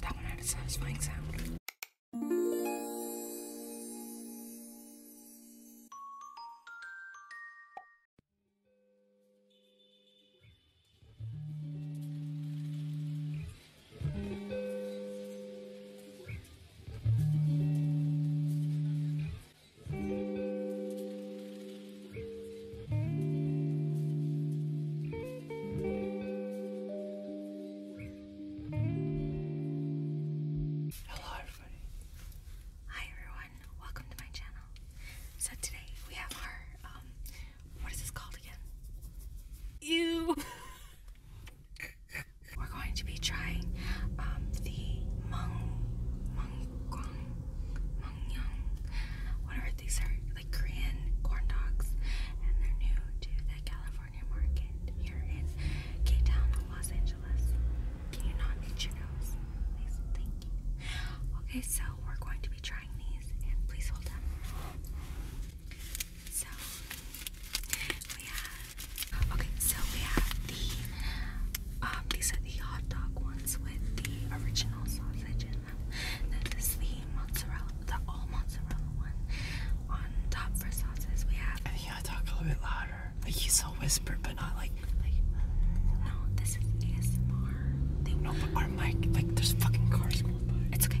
That one had a satisfying sound. Hello, everybody. Hi, everyone. Welcome to my channel. So today we have our um, what is this called again? Ew. We're going to be trying um, the Mong mung guang, mung young, whatever these are, like Korean corn dogs, and they're new to the California market here in Cape Los Angeles. Can you not itch your nose? Please, thank you. Okay, so we're going to be trying these, and please hold up. So we have Okay, so we have the um these are the hot dog ones with the original sausage in them. Then this is the mozzarella the all mozzarella one. On top for sauces we have I think I talk a little bit louder. Like you so whisper but not like no, this is ASMR. no, but our mic like there's fucking cars It's okay.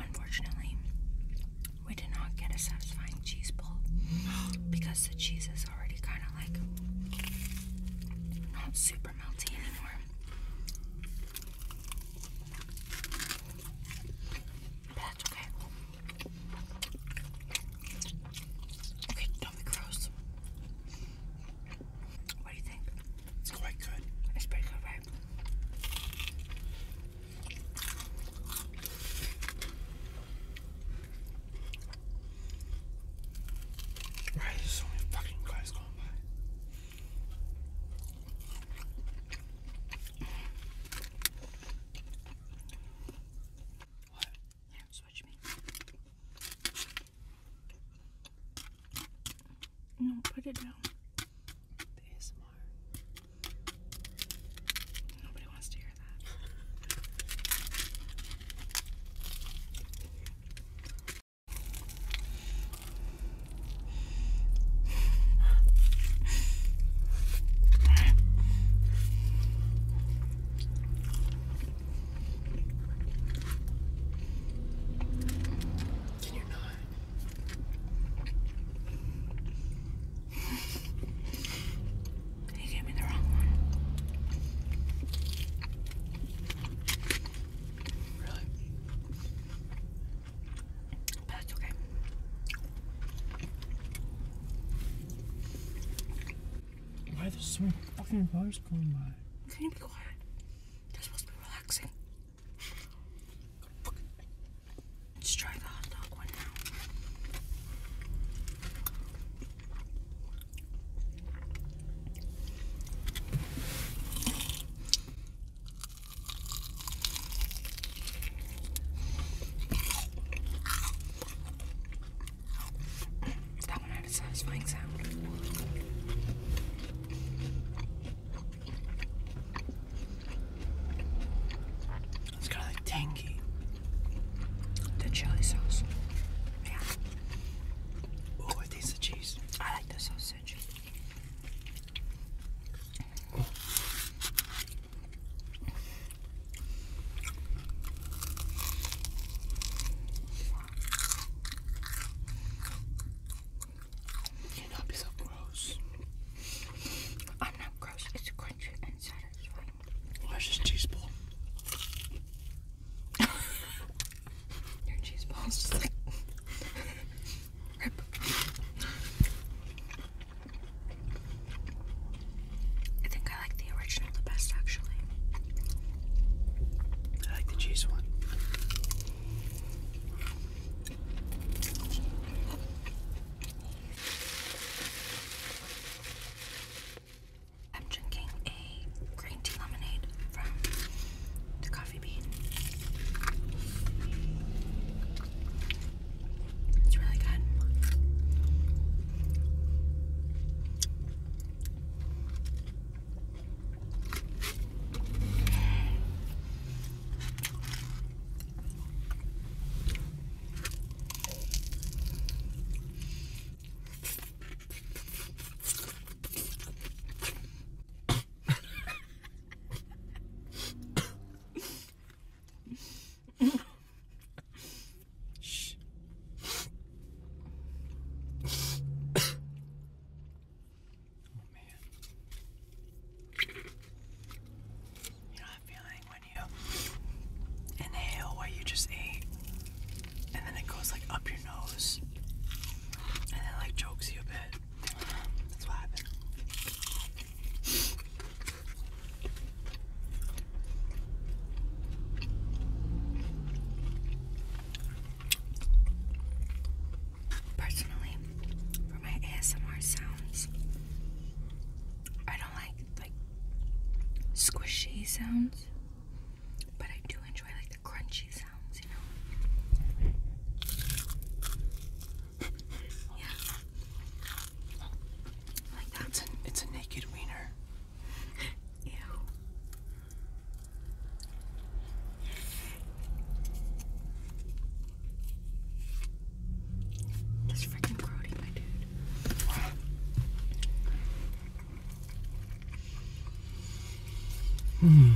Unfortunately, we did not get a satisfying cheese ball because the cheese is already kind of like not super melty anymore. But that's okay. Okay, don't be gross. What do you think? It's quite good. It's pretty good, right? Why is so many fucking cars going by? What? Here, switch me. No, put it down. The Nobody wants to hear that. Can you not? He gave me the wrong one. Really? that's okay. Why are there so many fucking cars going by? Can you be quiet? they supposed to be relaxing. Let's try the hot dog one now. That one had a satisfying sound. It's kind of like tangy. The chili sauce. Oh, I taste the cheese. I like the sausage. Oh. you not be so gross. I'm not gross. It's crunchy and satisfying. Where's this cheese ball? Your cheese ball just like rip. I think I like the original the best actually. I like the cheese one. I'm drinking a green tea lemonade from the coffee bean. It's really good. Oh, you know that feeling when Inhale what you just ate, and then it goes like up your nose, and then like chokes you a bit. That's what happened. Personally, for my ASMR sounds, I don't like like squishy sounds, but I do enjoy like the crunchy sounds, you know. yeah. Like that. It's a, naked wiener. Ew. This freaking grody, my dude. Hmm.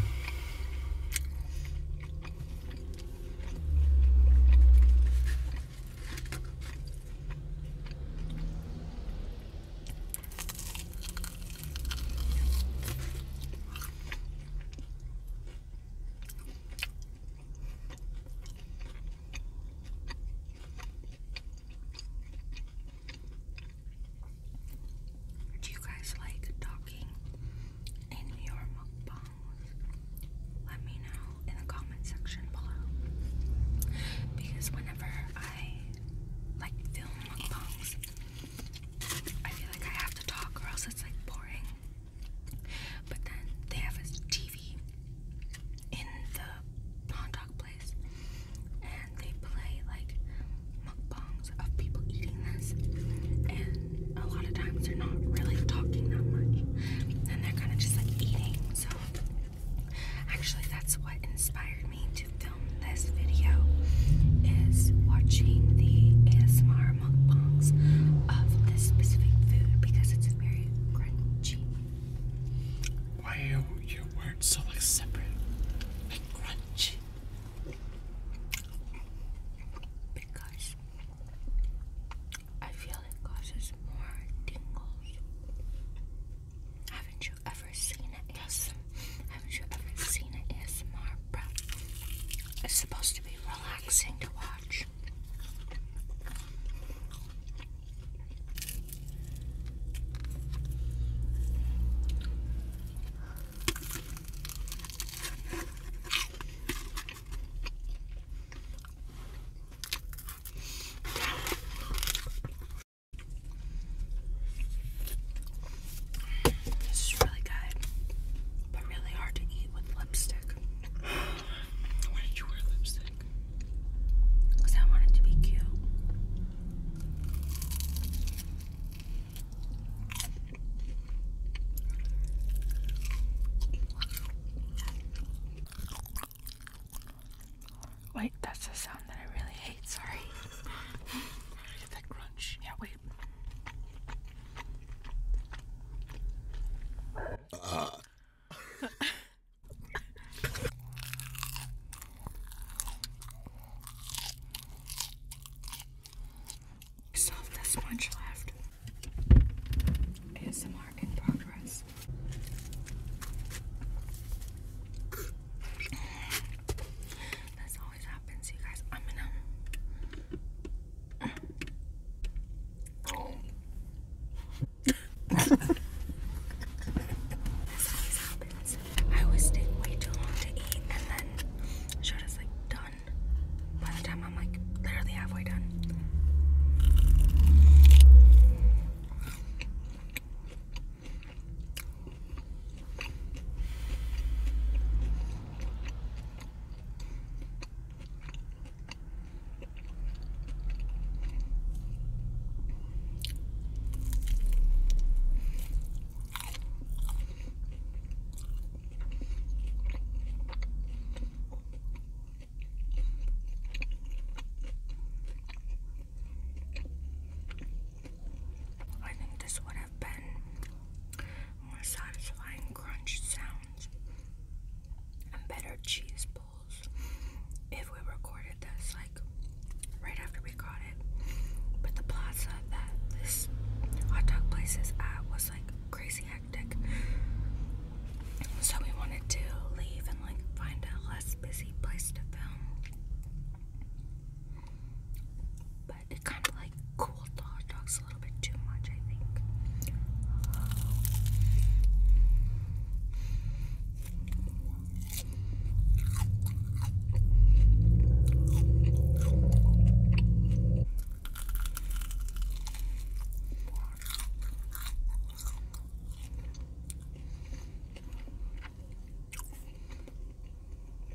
Do you guys like talking in your mukbangs? Let me know in the comment section below. Because whenever I like film mukbangs, I feel like I have to talk or else it's like boring. But then they have a TV in the hot dog place, and they play like mukbangs of people eating this, and a lot of times they're not really talking that much, and they're kind of just like eating. So, actually, that's what inspired me to film this video is watching the ASMR why are your words so like separate? crunchy? Because I feel it causes more tingles. Haven't you ever seen an ASMR? Haven't you ever seen an ASMR, bro? It's supposed to be relaxing to watch. This is really good but really hard to eat with lipstick. Why did you wear lipstick? Because I wanted to be cute. Wait, that's a sound that I really hate. Sorry. I crunch. Yeah, wait. Uh. this much left. ASMR in progress. this always happens, you guys. I'm gonna um. I always take way too long to eat and then short is like done. By the time I'm like literally halfway done. I think this would have been more satisfying crunch sound and better cheese pulls if we recorded this like right after we got it. But the plaza that this hot dog place is at was like crazy hectic. So we wanted to leave and like find a less busy place to film but it kind of like cooled the hot dogs a little bit too much, I think.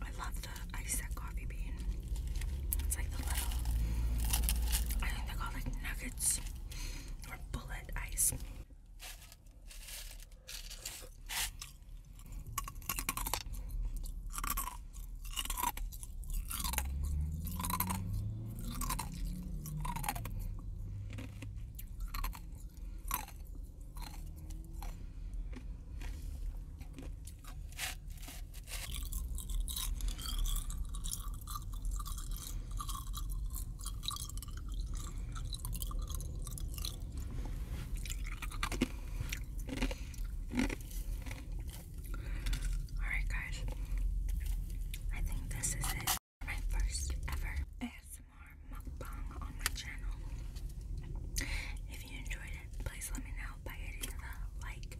I love the I said coffee bean. It's like the little I think they're called like nuggets or bullet ice. Alright, guys, I think this is it my first ever ASMR mukbang on my channel. If you enjoyed it, please let me know by hitting the like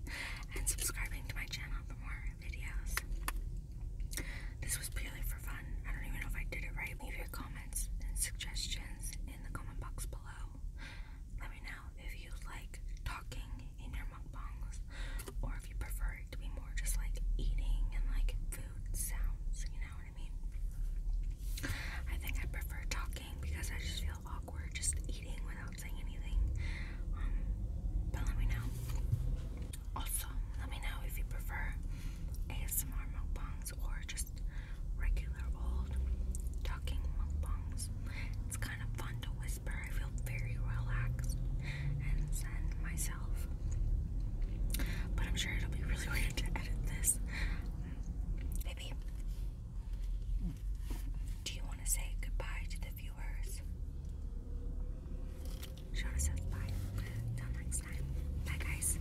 and subscribing to my channel for more videos. This was purely for fun. I don't even know if I did it right. Leave your comments and suggestions in the comment box below. Let me know if you like talking in your mukbangs or if you prefer it to be more just like eating and like food sounds, you know what I mean? I think I prefer talking because I just feel awkward just eating without saying anything. Um, but let me know. Also, let me know if you prefer ASMR mukbangs or just regular old talking mukbangs. It's kind of fun to whisper. I feel very relaxed. But I'm sure it'll be really weird to edit this. Baby, do you want to say goodbye to the viewers? Shona says bye. Till next time. Bye, guys.